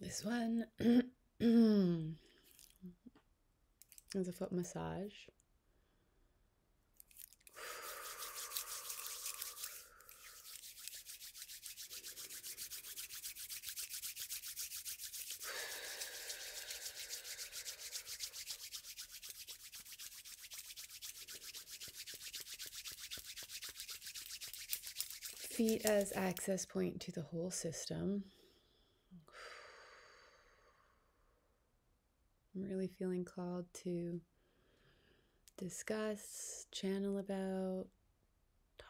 This one is a foot massage. Feet as access point to the whole system. I'm really feeling called to discuss, channel about,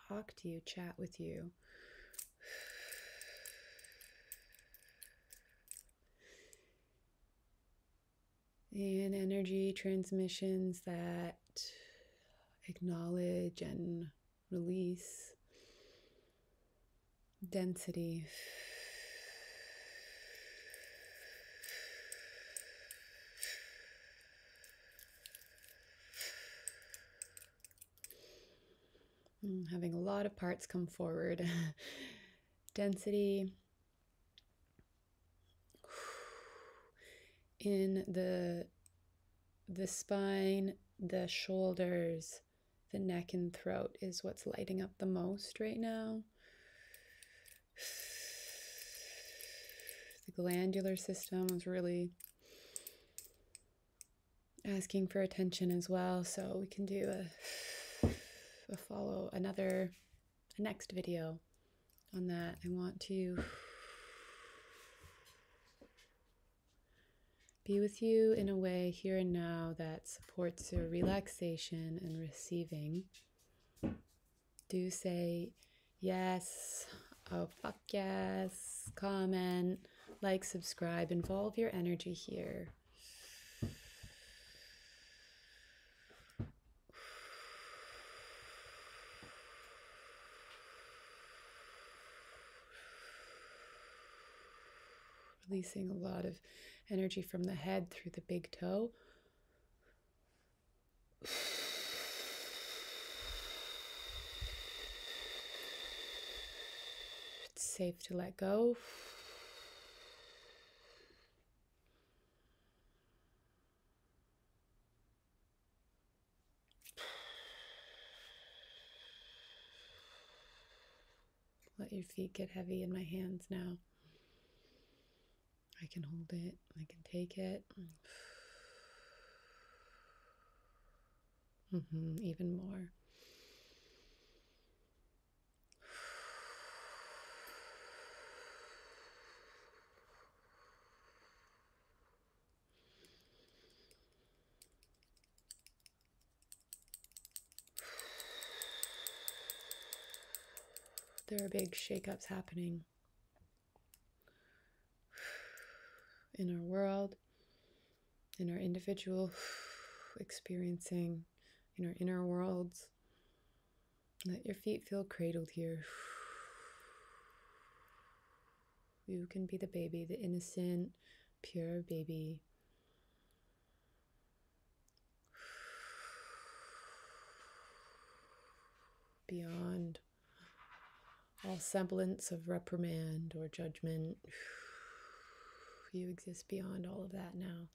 talk to you, chat with you and energy transmissions that acknowledge and release density. Mm, having a lot of parts come forward. Density in the the spine, the shoulders, the neck and throat is what's lighting up the most right now. The glandular system is really asking for attention as well. So we can do a, a follow another a next video on that. I want to be with you in a way here and now that supports your relaxation and receiving. Do say yes, oh fuck yes, comment, like, subscribe, involve your energy here. Releasing a lot of energy from the head through the big toe. It's safe to let go. Let your feet get heavy in my hands now. I can hold it, I can take it. Mm-hmm, even more. There are big shakeups happening in our world, in our individual experiencing, in our inner worlds. Let your feet feel cradled here. You can be the baby, the innocent, pure baby. Beyond all semblance of reprimand or judgment. You exist beyond all of that now.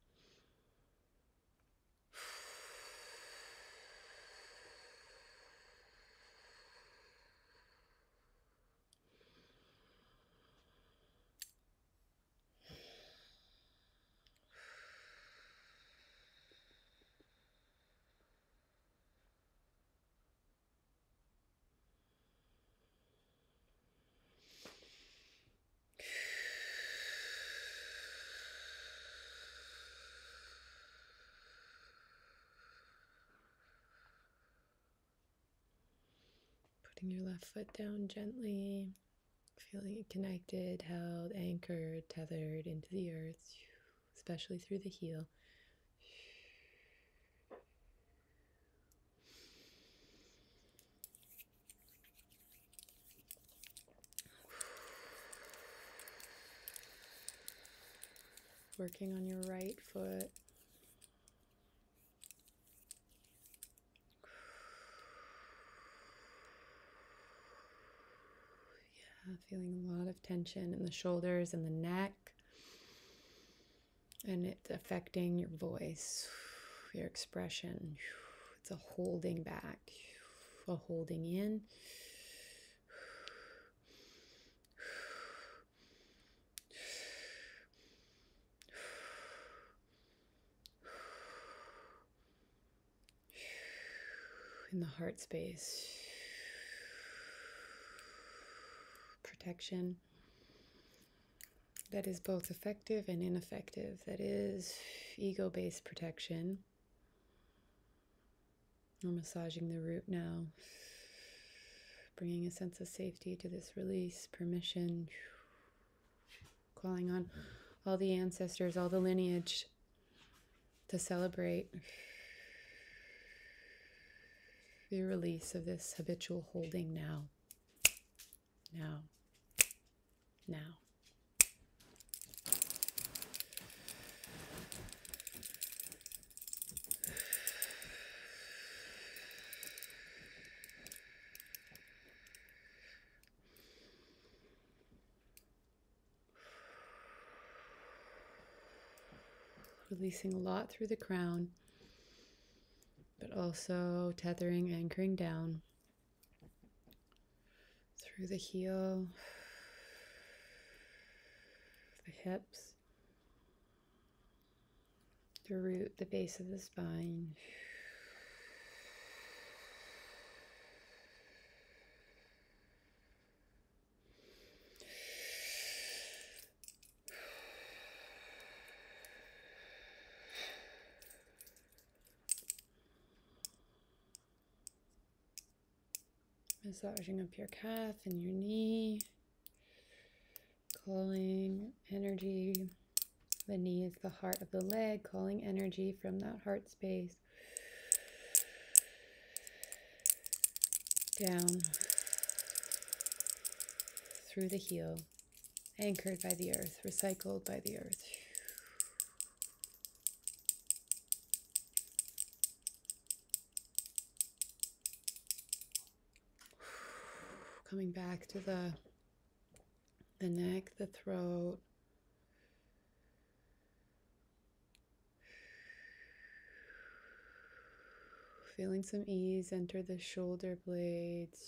Putting your left foot down gently, feeling connected, held, anchored, tethered into the earth especially through the heel. Working on your right foot. Yeah, feeling a lot of tension in the shoulders and the neck and it's affecting your voice, your expression. It's a holding back, a holding in. In the heart space, protection that is both effective and ineffective, that is ego based protection. I'm massaging the root now, bringing a sense of safety to this release, permission, calling on all the ancestors, all the lineage to celebrate the release of this habitual holding now. Now. Now. Releasing a lot through the crown, but also tethering, anchoring down through the heel, the hips, the root, the base of the spine. Massaging up your calf and your knee, calling energy. The knee is the heart of the leg, calling energy from that heart space down through the heel, anchored by the earth, recycled by the earth. Coming back to the the neck, the throat, Feeling some ease enter the shoulder blades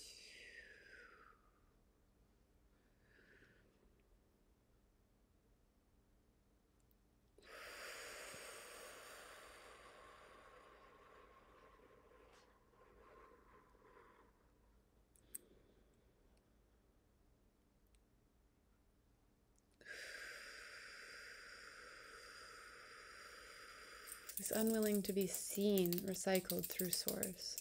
is unwilling to be seen, recycled through source.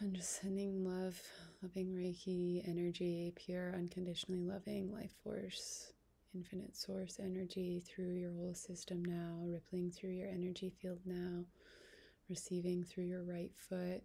And just sending love, loving Reiki energy, pure, unconditionally loving life force, infinite source energy through your whole system now, rippling through your energy field now, receiving through your right foot,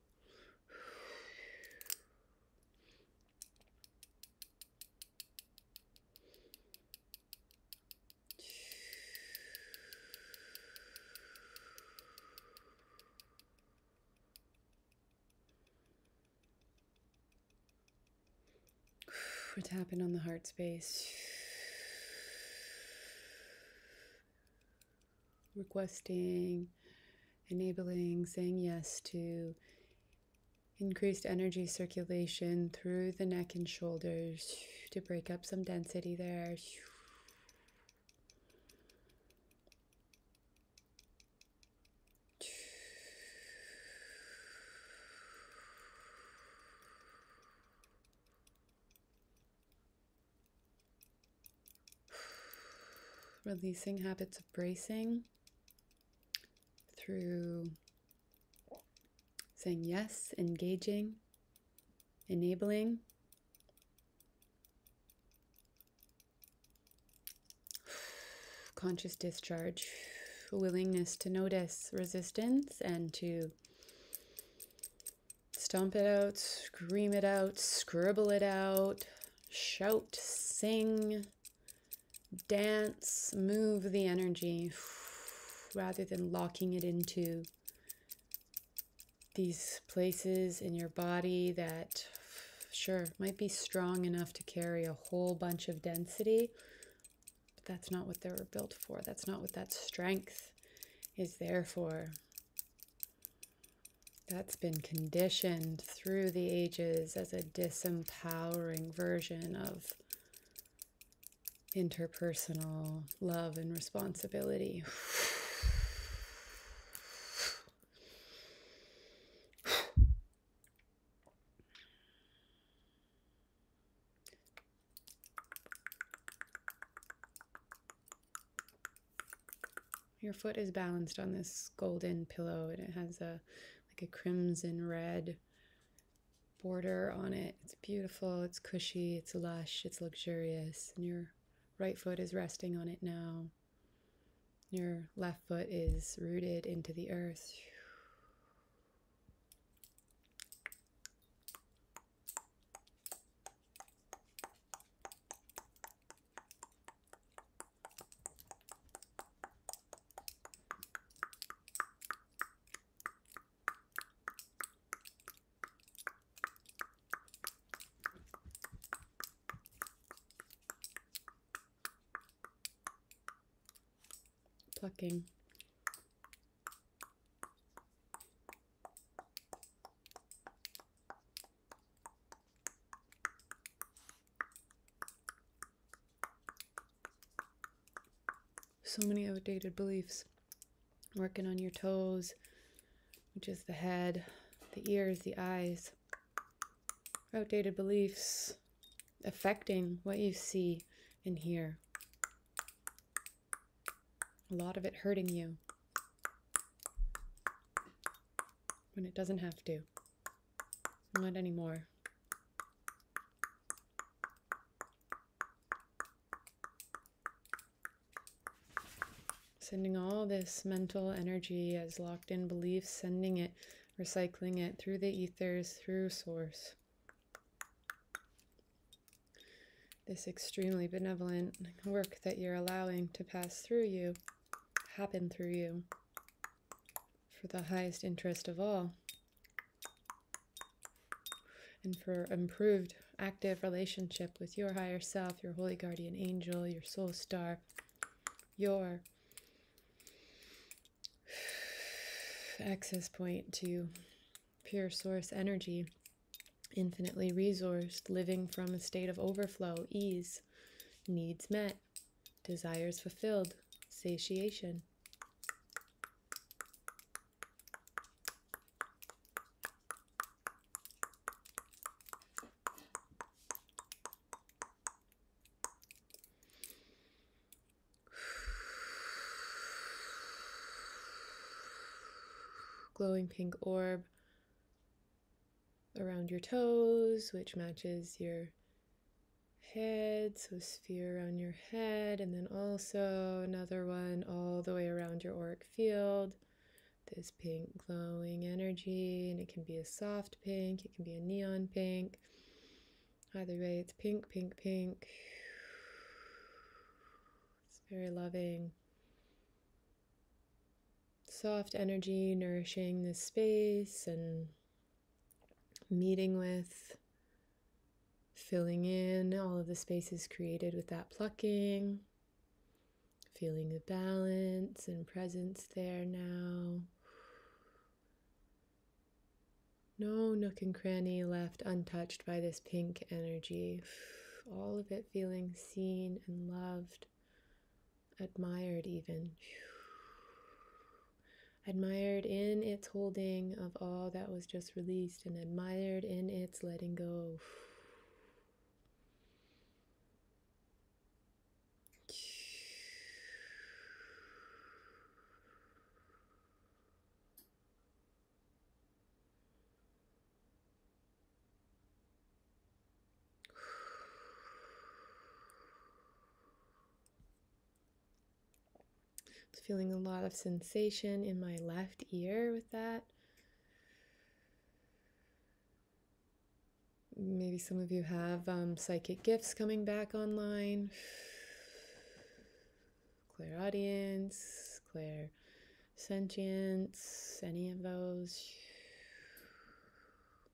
We're tapping on the heart space requesting, enabling, saying yes to increased energy circulation through the neck and shoulders to break up some density there. Releasing habits of bracing through saying yes, engaging, enabling. Conscious discharge, willingness to notice resistance and to Stomp it out, scream it out, scribble it out, shout, sing, dance, move the energy rather than locking it into these places in your body that, sure, might be strong enough to carry a whole bunch of density, that's not what they were built for. That's not what that strength is there for that's been conditioned through the ages as a disempowering version of interpersonal love and responsibility. Your foot is balanced on this golden pillow and it has a like a crimson red border on it. It's beautiful, it's cushy, it's lush, it's luxurious. And your right foot is resting on it now. Your left foot is rooted into the earth. Plucking. So many outdated beliefs. Working on your toes, which is the head, the ears, the eyes. Outdated beliefs affecting what you see and hear a lot of it hurting you when it doesn't have to. Not anymore. Sending all this mental energy as locked in beliefs, sending it, recycling it through the ethers, through source. This extremely benevolent work that you're allowing to pass through you happen through you for the highest interest of all and for improved active relationship with your higher self, your holy guardian angel, your soul star, your access point to pure source energy, infinitely resourced, living from a state of overflow, ease, needs met, desires fulfilled, satiation glowing pink orb around your toes, which matches your head. So, sphere around your head, and then also another one all the way around your auric field. This pink glowing energy, and it can be a soft pink, it can be a neon pink. Either way, it's pink, pink, pink. It's very loving. Soft energy nourishing this space and meeting with, filling in all of the spaces created with that plucking, feeling the balance and presence there now. No nook and cranny left untouched by this pink energy all of it feeling seen and loved, admired, even. Admired in its holding of all that was just released, and admired in its letting go feeling a lot of sensation in my left ear with that. Maybe some of you have um, psychic gifts coming back online. Claire audience, Claire sentience, any of those.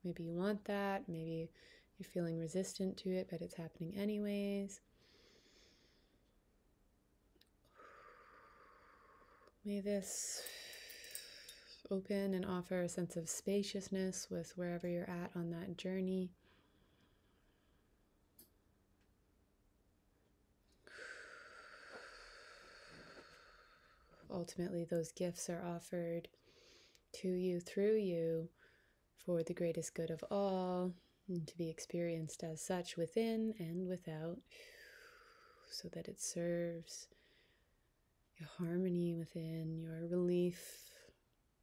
Maybe you want that, maybe you're feeling resistant to it, but it's happening anyways. May this open and offer a sense of spaciousness with wherever you're at on that journey. Ultimately, those gifts are offered to you through you for the greatest good of all, and to be experienced as such within and without, so that it serves your harmony within, your relief,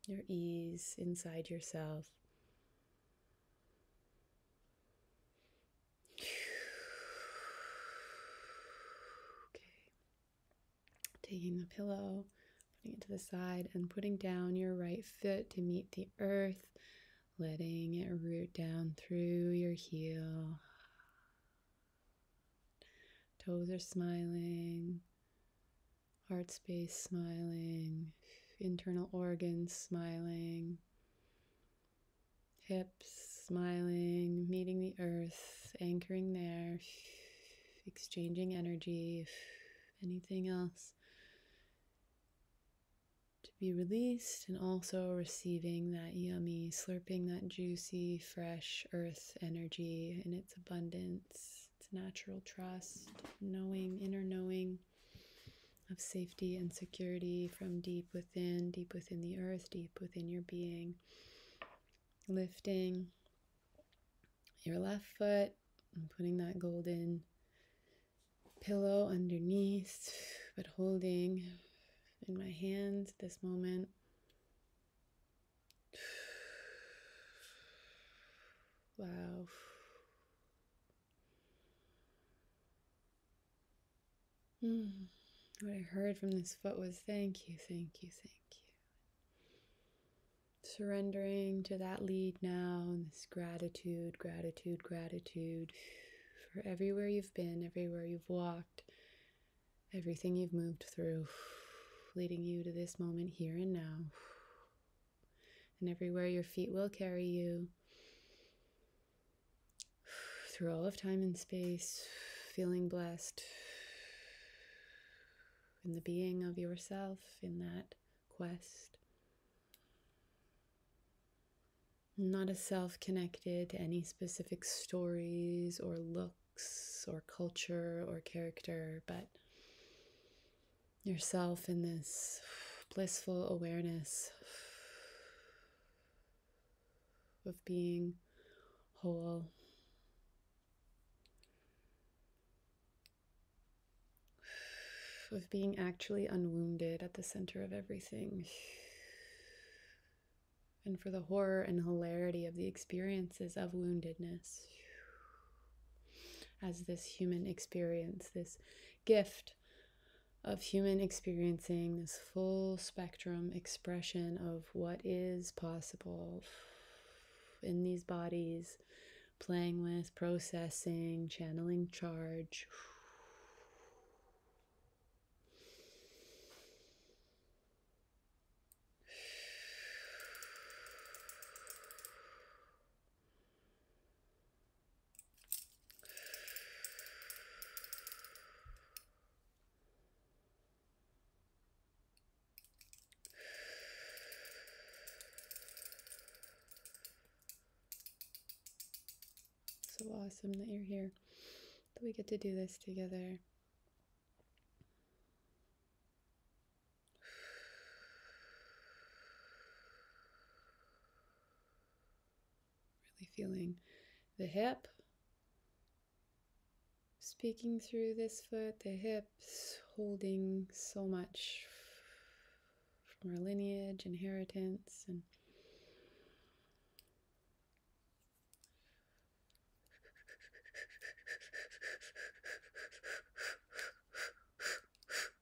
your ease inside yourself. Okay. Taking the pillow, putting it to the side, and putting down your right foot to meet the earth, letting it root down through your heel. Toes are smiling, heart space smiling, internal organs smiling hips, smiling, meeting the earth, anchoring there, exchanging energy, anything else to be released, and also receiving that yummy, slurping that juicy, fresh earth energy in its abundance, its natural trust, knowing, inner knowing of safety and security from deep within, deep within the earth, deep within your being. Lifting your left foot and putting that golden pillow underneath, but holding in my hands this moment. Wow. Hmm. What I heard from this foot was thank you, thank you, thank you. Surrendering to that lead now this gratitude, gratitude, gratitude for everywhere you've been, everywhere you've walked, everything you've moved through, leading you to this moment here and now and everywhere your feet will carry you through all of time and space, feeling blessed in the being of yourself in that quest. Not a self connected to any specific stories or looks or culture or character, but yourself in this blissful awareness of being whole. Of being actually unwounded at the center of everything. And for the horror and hilarity of the experiences of woundedness as this human experience, this gift of human experiencing this full spectrum expression of what is possible in these bodies, playing with, processing, channeling charge. So awesome that you're here, that we get to do this together. Really feeling the hip. Speaking through this foot, the hips, holding so much from our lineage, inheritance, and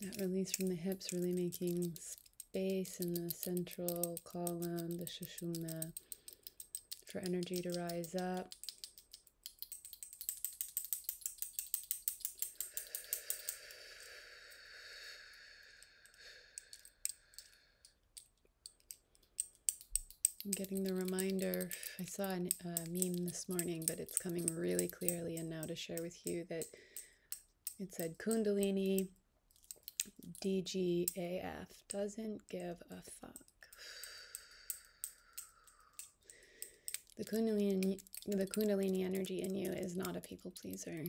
That release from the hips really making space in the central column, the Shishumna, for energy to rise up. I'm getting the reminder. I saw a meme this morning, but it's coming really clearly in now to share with you that it said Kundalini DGAF doesn't give a fuck. The Kundalini, the Kundalini energy in you is not a people pleaser.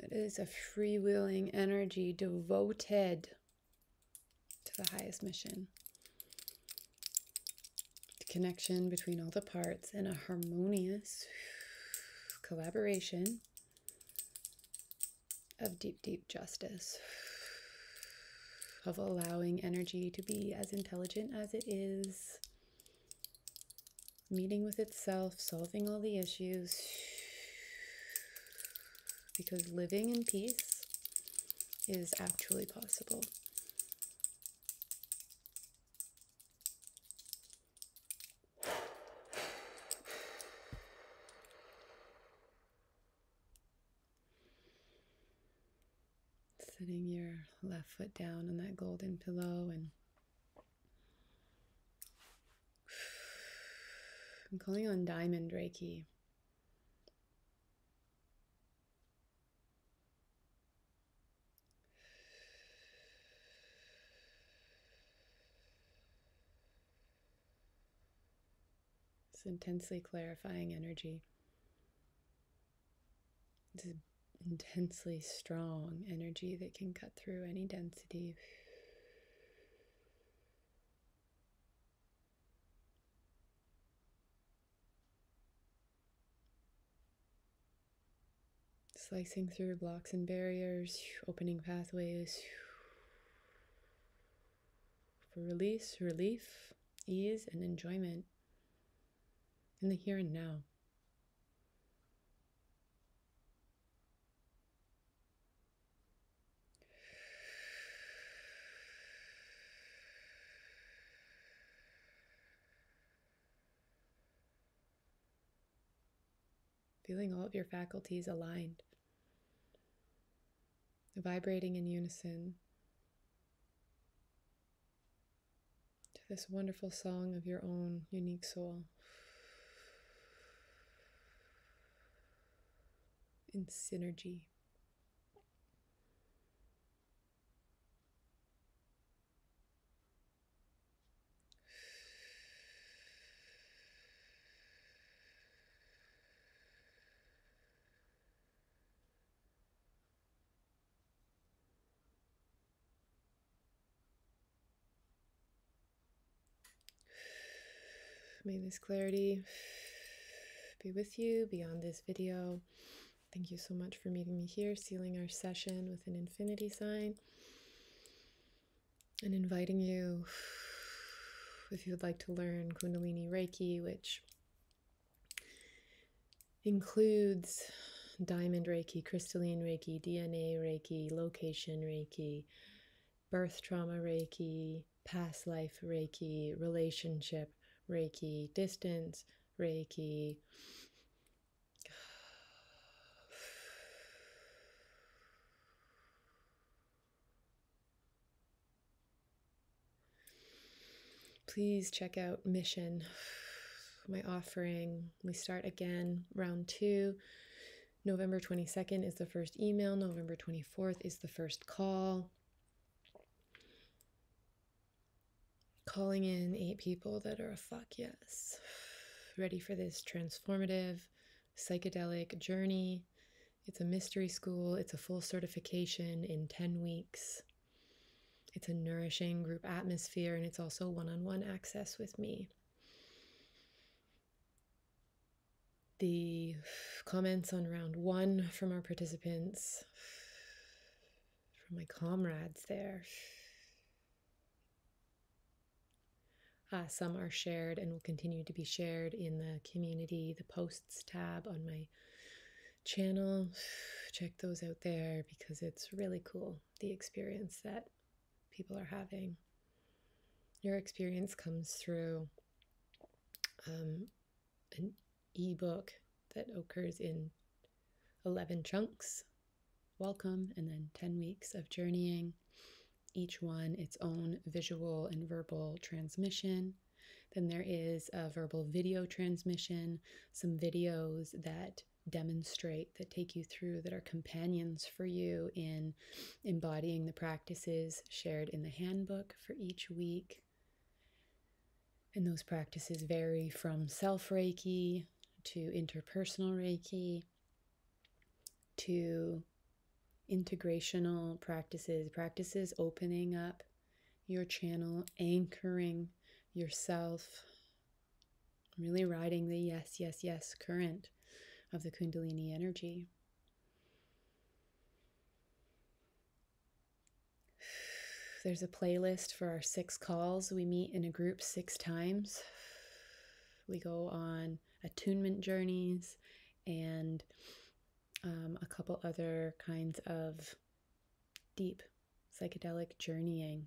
It is a freewheeling energy devoted to the highest mission. The connection between all the parts and a harmonious collaboration of deep, deep justice, of allowing energy to be as intelligent as it is, meeting with itself, solving all the issues, because living in peace is actually possible. Setting your left foot down on that golden pillow and I'm calling on Diamond Reiki. This intensely clarifying energy. It's is intensely strong energy that can cut through any density. Slicing through blocks and barriers, opening pathways for release, relief, ease, and enjoyment in the here and now. Feeling all of your faculties aligned, vibrating in unison to this wonderful song of your own unique soul in synergy. May this clarity be with you beyond this video. Thank you so much for meeting me here, sealing our session with an infinity sign, and inviting you if you would like to learn Kundalini Reiki, which includes diamond Reiki, crystalline Reiki, DNA Reiki, location Reiki, birth trauma Reiki, past life Reiki, relationship Reiki, distance Reiki. Please check out Mission, my offering. We start again, round two November 22nd is the first email, November 24th is the first call. Calling in eight people that are a fuck yes, ready for this transformative psychedelic journey. It's a mystery school, it's a full certification in 10 weeks. It's a nourishing group atmosphere, and it's also one on one access with me the comments on round one from our participants, from my comrades there. Ah, some are shared and will continue to be shared in the community, the posts tab on my channel. Check those out there because it's really cool the experience that people are having. Your experience comes through um, an e-book that occurs in 11 chunks. Welcome, and then 10 weeks of journeying, each one its own visual and verbal transmission. Then there is a verbal video transmission, some videos that demonstrate, that take you through, that are companions for you in embodying the practices shared in the handbook for each week. And those practices vary from self Reiki to interpersonal Reiki to integrational practices, practices opening up your channel, anchoring yourself really riding the yes, yes, yes current of the Kundalini energy. There's a playlist for our six calls. We meet in a group six times. We go on attunement journeys and um, a couple other kinds of deep psychedelic journeying.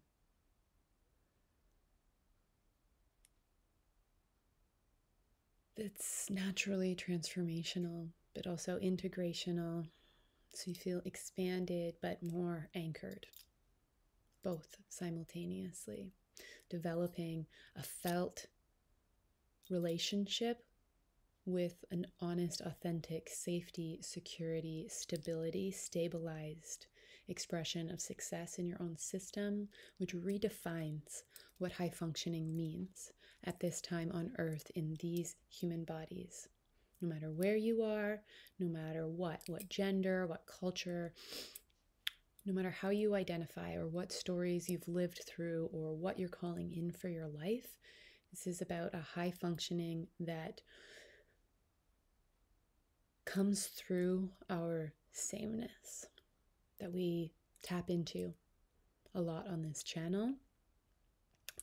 It's naturally transformational, but also integrational. So you feel expanded but more anchored, both simultaneously, developing a felt relationship with an honest, authentic safety, security, stability, stabilized expression of success in your own system, which redefines what high functioning means at this time on earth in these human bodies. No matter where you are, no matter what, what gender, what culture, no matter how you identify or what stories you've lived through or what you're calling in for your life, this is about a high functioning that comes through our sameness that we tap into a lot on this channel.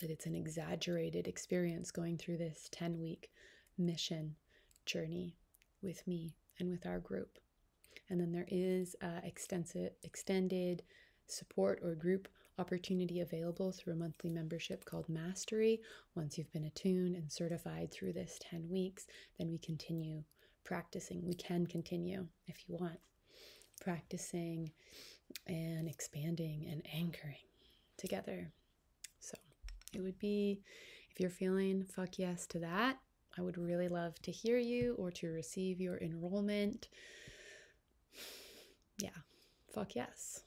That it's an exaggerated experience going through this 10 week mission journey with me and with our group. And then there is uh, extensive, extended support or group opportunity available through a monthly membership called Mastery, once you've been attuned and certified through this 10 weeks, then we continue practicing. We can continue if you want, practicing and expanding and anchoring together. So it would be if you're feeling fuck yes to that, I would really love to hear you or to receive your enrollment. Yeah, fuck yes.